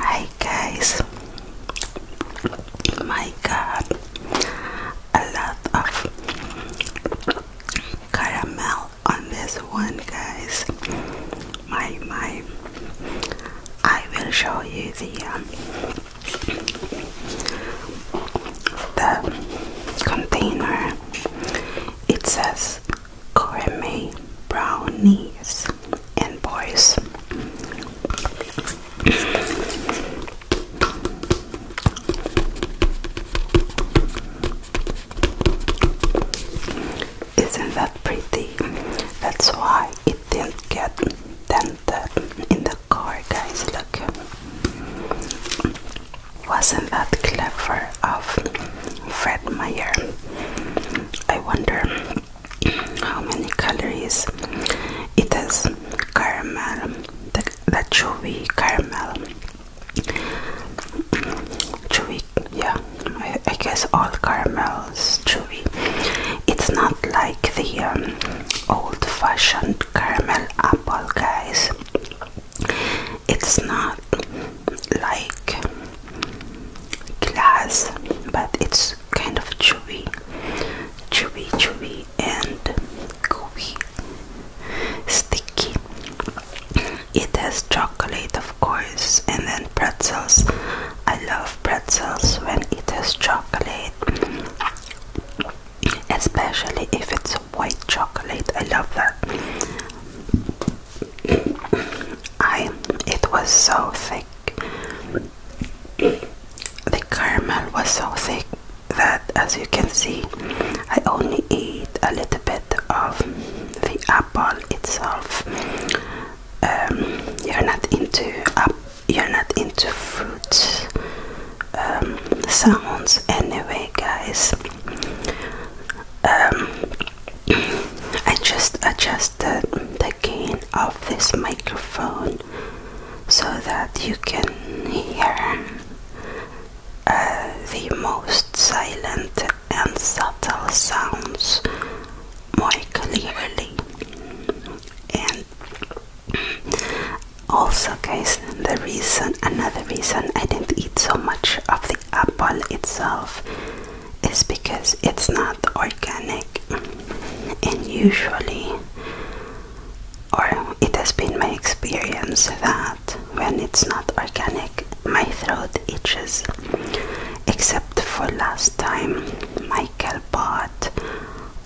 Hi guys, my god, a lot of caramel on this one, guys. My my, I will show you the um, the container. It says gourmet brownies and boys. Isn't that pretty? That's why it didn't get dented in the car, guys. Look. Wasn't that clever of Fred Meyer? I wonder how many calories it has. Caramel, the, chewy caramel. Chewy, yeah, I, guess all caramels chewy. It's not like the um, old fashioned caramel apple, guys it's not like glass but it's kind of chewy chewy chewy and gooey sticky it has chocolate of course and then pretzels I love pretzels when it has chocolate especially if it's white chocolate I love that I it was so thick. The caramel was so thick that as you can see I only eat a little bit of the apple itself. Um, you're not into uh, you're not into fruit um, sounds anyway guys. Um, I just adjusted uh, the gain of this microphone so that you can hear uh, the most silent and subtle sounds more clearly and also guys the reason another reason I didn't eat so much of the apple itself is because it's not organic and usually or it has been my experience that when it's not organic my throat itches except for last time Michael bought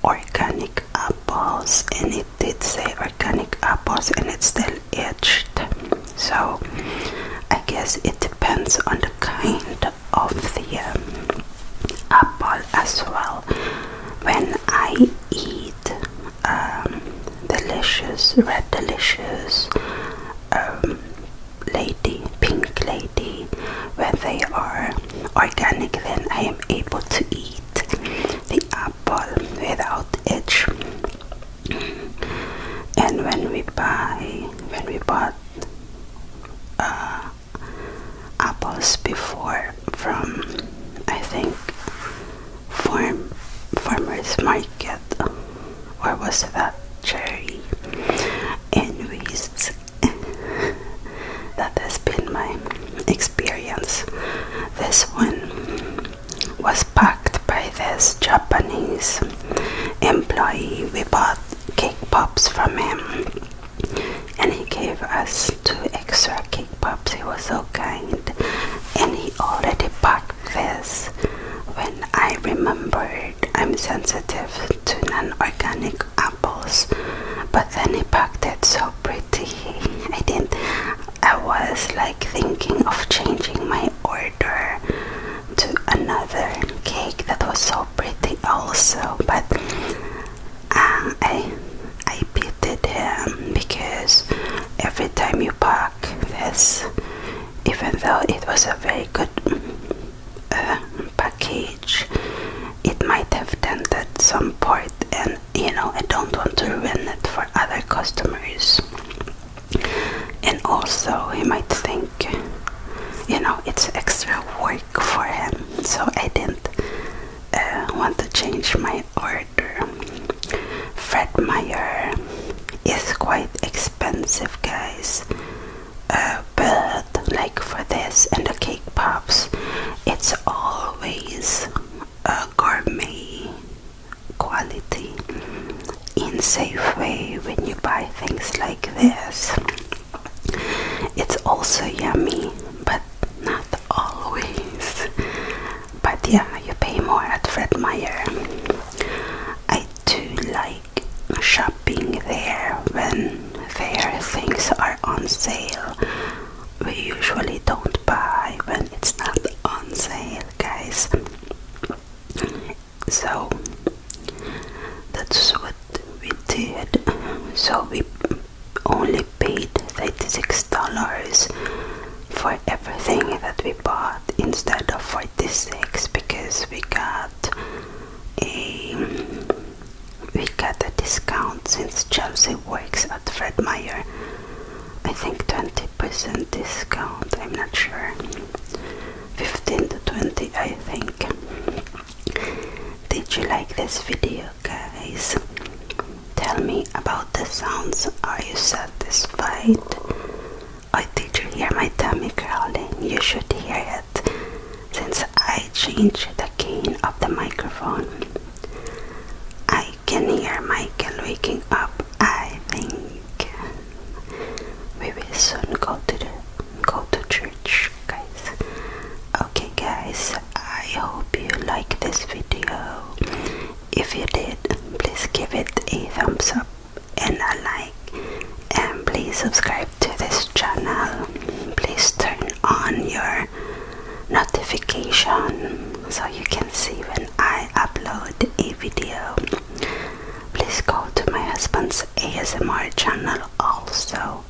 organic apples and it did say organic apples and it still itched so I guess it depends on the kind of the um, apple as well. When I eat um, delicious, red delicious, um, lady, pink lady, when they are organic, then I am able to eat the apple without each and when we buy when we bought uh, apples before from I think farm farmers market or was it that cherry and waste that has been my experience this one was packed by this Japanese employee. We bought cake pops from him and he gave us two extra cake pops. He was so kind and he already packed this when I remembered I'm sensitive to non-organic apples but then he packed it so pretty. I didn't I was like thinking of changing my order to another cake that was so pretty also but um, I I pitied him because every time you pack this even though it was a very good uh, package it might have dented some part and you know I don't want to ruin it for other customers and also he might think you know it's extra work for him so i didn't uh, want to change my order fred meyer is quite expensive guys uh, but like for this and the cake pops it's always a gourmet quality in safe way when you buy things like this. It's also yummy, but not always. But yeah, you pay more at Fred Meyer. I do like shopping there when their things are on sale. We usually don't buy when it's not on sale, guys so that's what we did so we only paid 36 dollars for everything that we bought instead of 46 because we got a we got a discount since Chelsea works at Fred Meyer I think 20% discount, I'm not sure. 15 to 20, I think. Did you like this video, guys? Tell me about the sounds. Are you satisfied? Oh, did you hear my tummy growling? You should hear it since I changed the gain of the microphone. I can hear Michael waking up, I think we will soon go to go to church guys okay guys i hope you like this video if you did please give it a thumbs up and a like and please subscribe to this channel please turn on your notification so you can see when i upload a video Please go to my husband's ASMR channel also,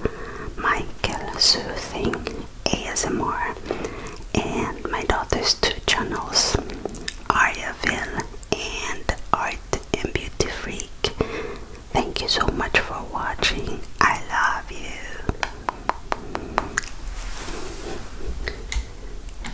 Michael Soothing ASMR, and my daughter's two channels, Ariaville and Art and Beauty Freak. Thank you so much for watching. I love you.